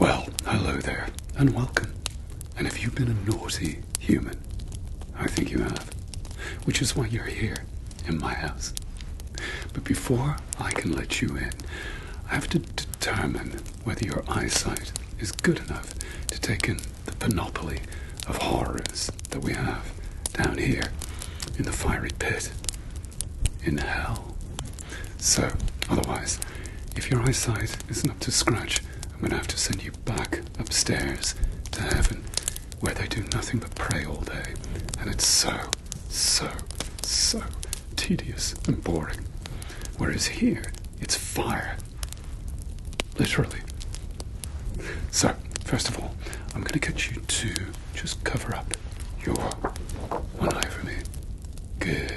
Well, hello there, and welcome. And if you've been a naughty human, I think you have, which is why you're here in my house. But before I can let you in, I have to determine whether your eyesight is good enough to take in the panoply of horrors that we have down here in the fiery pit, in hell. So, otherwise, if your eyesight isn't up to scratch, I'm going to have to send you back upstairs to heaven, where they do nothing but pray all day, and it's so, so, so tedious and boring. Whereas here, it's fire. Literally. So, first of all, I'm going to get you to just cover up your one eye for me. Good.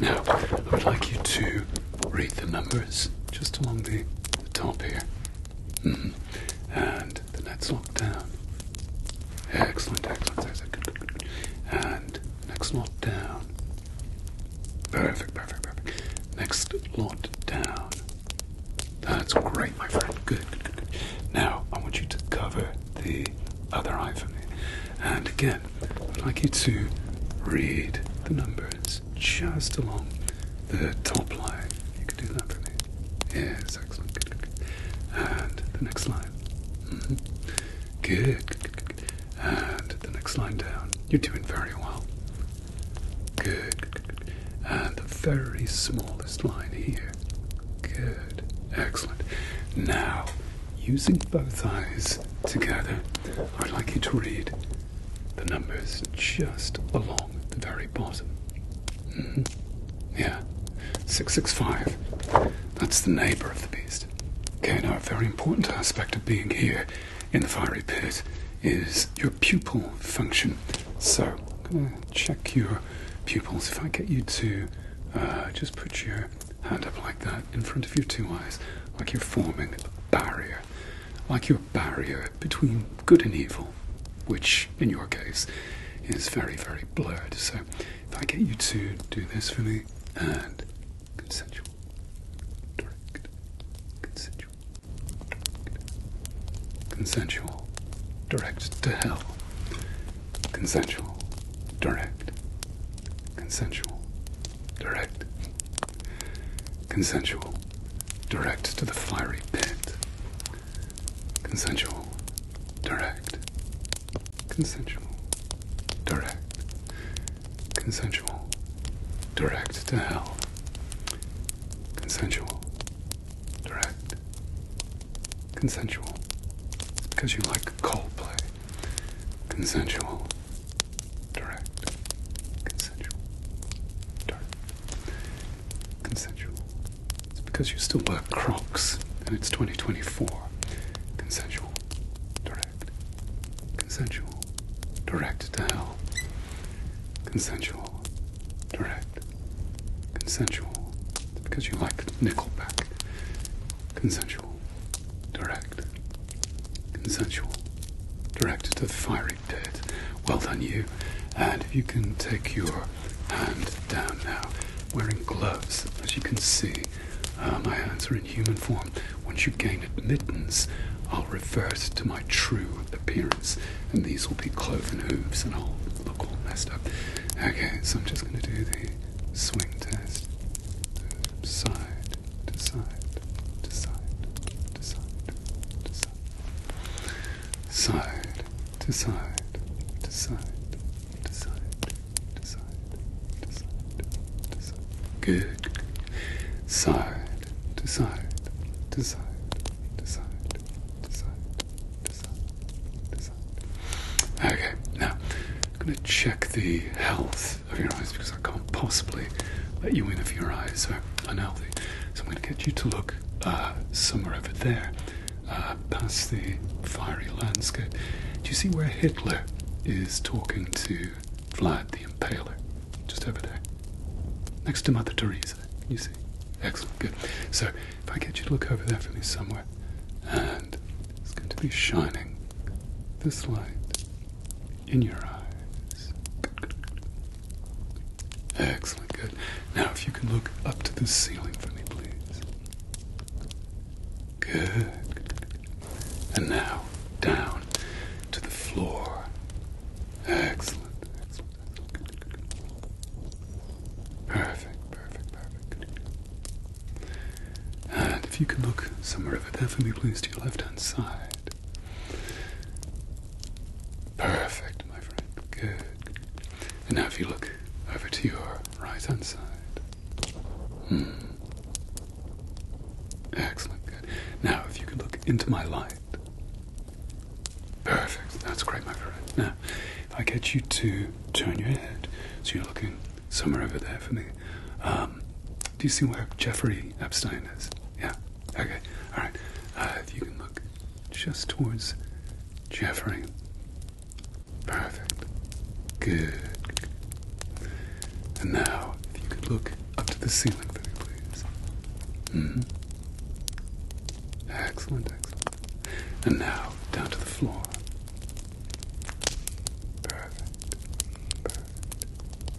Now, I would like you to read the numbers just along the, top here. Mm-hmm. And then let lock down. Excellent, excellent, excellent. And next lot down. Perfect, perfect, perfect. Next lot down. That's great, my friend. good, good, good. Now, I want you to cover the other eye for me. And again, I'd like you to read the numbers just along the top line. You can do that for me. Yes, excellent. Good, good, good. And the next line. Mm-hmm. good, And the next line down. You're doing very well. good. And the very smallest line here. Good. Excellent. Now, Using both eyes together, I'd like you to read the numbers just along the very bottom. Hmm? Yeah, 665. That's the neighbor of the beast. Okay, now a very important aspect of being here in the fiery pit is your pupil function. So, I'm going to check your pupils. If I get you to uh, just put your hand up like that in front of your two eyes, like you're forming a barrier, like your barrier between good and evil, which in your case is very, very blurred. So if I get you to do this for me and consensual, direct, consensual, consensual, direct to hell consensual, direct, consensual, direct, consensual, direct to the fiery pit, consensual, direct, consensual, direct, consensual, direct to hell, consensual, direct, consensual, because you like Coldplay consensual, direct, consensual, dark, consensual. It's because you still wear Crocs and it's 2024. Consensual, direct, consensual, direct to Consensual, direct, consensual. It's because you like Nickelback consensual, direct, consensual, directed to the fiery pit. Well done, you. And if you can take your hand down now, wearing gloves, as you can see, uh, my hands are in human form. Once you gain admittance, I'll revert to my true appearance, and these will be cloven hooves, and I'll look all messed up. Okay, so I'm just going to do the swing test. Side to side to side to side to side. Side to side to side to side to side to side to side. Good. Side to side to side to side to side to side to side. Okay, now I'm going to check the health of your eyes because I can't possibly let you in if your eyes are unhealthy. So I'm going to get you to look uh, somewhere over there, uh, past the fiery landscape. Do you see where Hitler is talking to Vlad the Impaler? Just over there. Next to Mother Teresa. you see? Excellent, good. So if I get you to look over there for me somewhere, and it's going to be shining this light in your eyes. Excellent, good. Now, if you can look up to the ceiling for me, please. Good, And now, down to the floor. Excellent, excellent, excellent. Perfect, perfect, perfect. And if you can look somewhere over there for me, please, to your left hand side. Perfect, my friend. Good. And now if you look over to your right hand side. Hmm. Excellent, good. Now if you can look into my light. Perfect. That's great, my friend. Now, if I get you to turn your head so you're looking somewhere over there for me. Um, do you see where Jeffrey Epstein is? Yeah. Okay. All right. Uh, if you can look just towards Jeffrey. Perfect. Good. And now, if you could look up to the ceiling for me, please. Mm-hmm. Excellent, excellent. And now down to the floor. Perfect.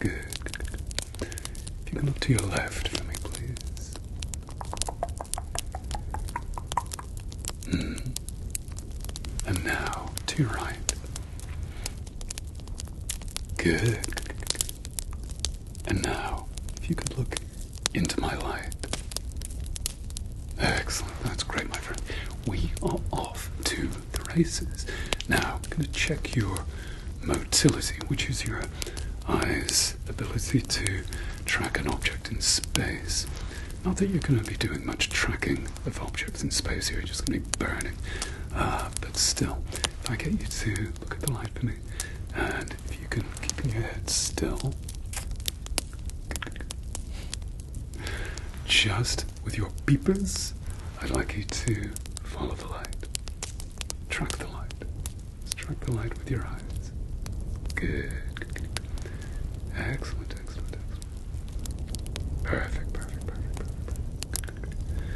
Perfect. Good, good, If you could look to your left for me, please. Hmm. And now to your right. Good, good, good. And now, if you could look into my light. Excellent. That's great, my friend. We are off to the races. Now, I'm going to check your motility, which is your eyes' ability to track an object in space. Not that you're going to be doing much tracking of objects in space you're just going to be burning. Ah, but still, if I get you to look at the light for me, and if you can keep your head still. Just with your beepers, I'd like you to follow the light. Track the light. Just track the light with your eyes. Good. good, good. Excellent, excellent, excellent. Perfect, perfect, perfect, perfect. perfect. Good, good, good.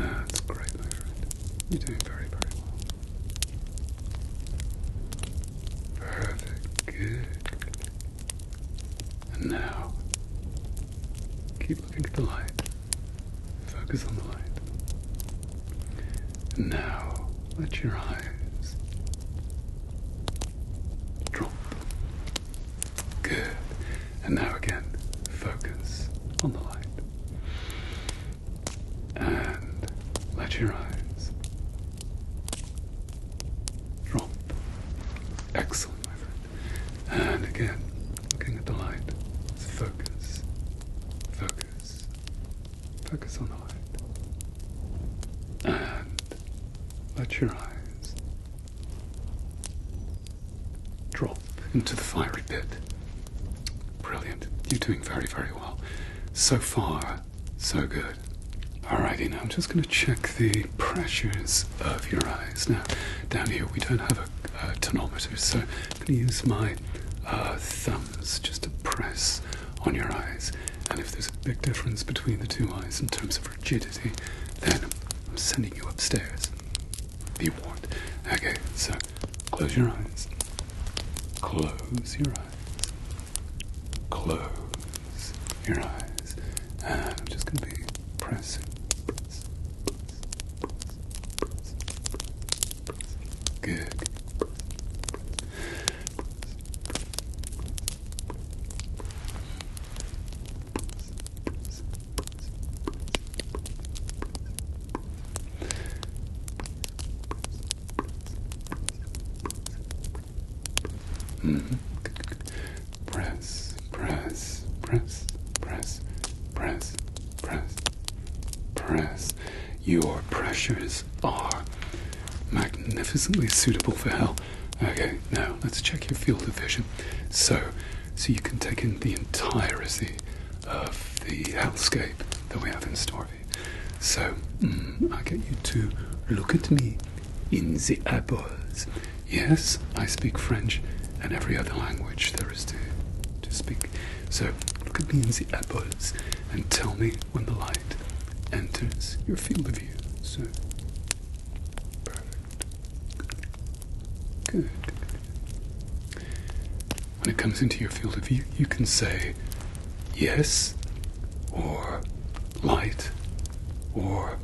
That's great, my friend. You're doing very, very well. Perfect. Good. good, good. And now, keep looking at the light. Focus on the light. And now, let your eyes drop. Good. And now again, focus on the light. And let your eyes Drop. Excellent, my friend. And again, looking at the light. Focus. Focus. Focus on the light. And let your eyes drop into the fiery pit. Brilliant. You're doing very, very well. So far, so good. Alrighty, now I'm just going to check the pressures of your eyes. Now, down here we don't have a tonometer, so I'm going to use my uh, thumbs just to press on your eyes. And if there's a big difference between the two eyes in terms of rigidity, then I'm sending you upstairs. Be warned. Okay, so close your eyes. Close your eyes. Close your eyes. And I'm just going to be pressing, press, press, Good. Press, press, press, press, press, press, press. Your pressures are magnificently suitable for hell. Okay, now let's check your field of vision. So, so you can take in the entirety of the hellscape that we have in store for you. So, mm, I get you to look at me in the apples. Yes, I speak French and every other language there is to, to speak. So look at me in the apples and tell me when the light enters your field of view. So perfect. Good. When it comes into your field of view, you can say yes or light or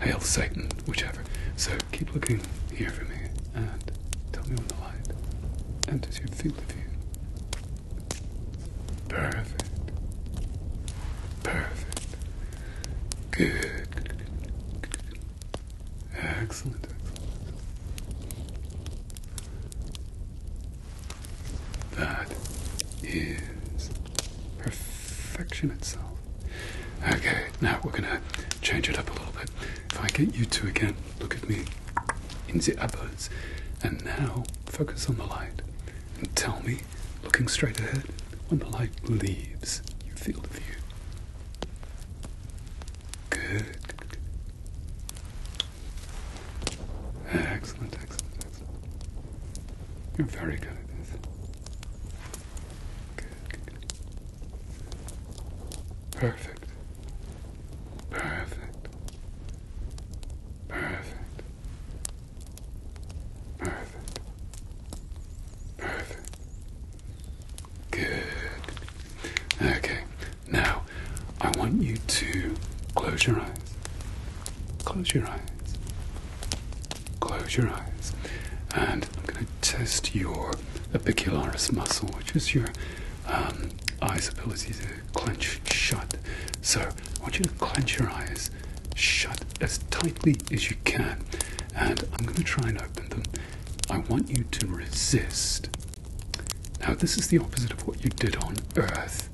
hail Satan, whichever. So keep looking here for me and tell me when the light enters your field of view. Perfect. Perfect. Good. Excellent, excellent. That is perfection itself. Okay, now we're gonna change it up a little bit. If I get you two again, look at me in the eyes, and now focus on the light and tell me, looking straight ahead, when the light leaves your field of view. Good. Excellent, excellent. You're very good at this. Good, good, good. Perfect. Perfect. Perfect. Perfect. Perfect. Good. Okay. Now, I want you to close your eyes. Close your eyes. Close your eyes. And I'm going to test your epicularis muscle, which is your um, eyes' ability to clench shut. So I want you to clench your eyes shut as tightly as you can. And I'm going to try and open them. I want you to resist. Now, this is the opposite of what you did on Earth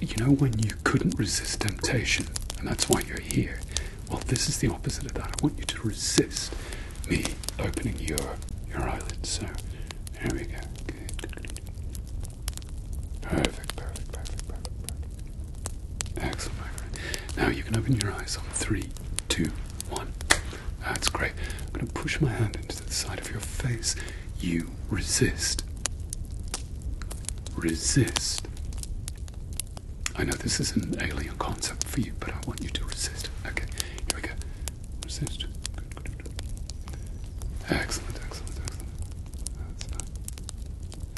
you know when you couldn't resist temptation and that's why you're here well this is the opposite of that i want you to resist me opening your your eyelids so there we go perfect perfect perfect perfect, excellent now you can open your eyes on three two one that's great i'm going to push my hand into the side of your face you resist. Resist. I know this is an alien concept for you, but I want you to resist. Okay, here we go. Resist. Excellent, excellent, excellent.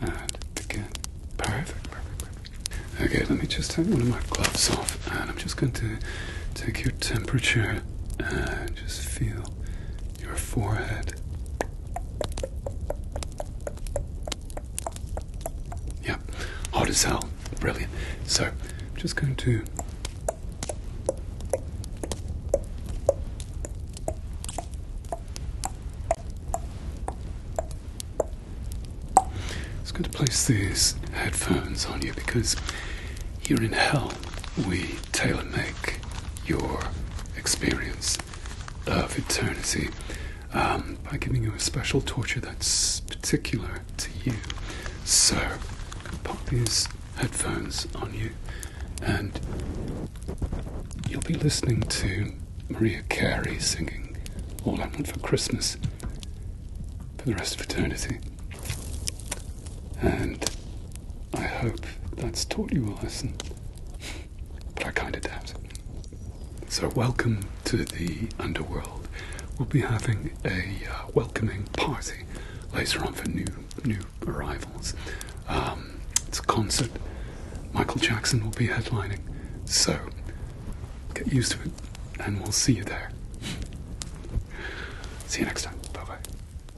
And again. Perfect, perfect, perfect. Okay, let me just take one of my gloves off and I'm just going to take your temperature and just feel your forehead. Yeah, hot as hell. Brilliant. So, I'm just going to just going to place these headphones on you because here in hell we tailor make your experience of eternity um, by giving you a special torture that's particular to you. So, pop these headphones on you, and you'll be listening to Maria Carey singing All I Want for Christmas for the rest of eternity. And I hope that's taught you a lesson, but I kind of doubt So, welcome to the underworld. We'll be having a uh, welcoming party later on for new new arrivals. Um, it's a concert. Michael Jackson will be headlining, so get used to it, and we'll see you there. See you next time. Bye bye.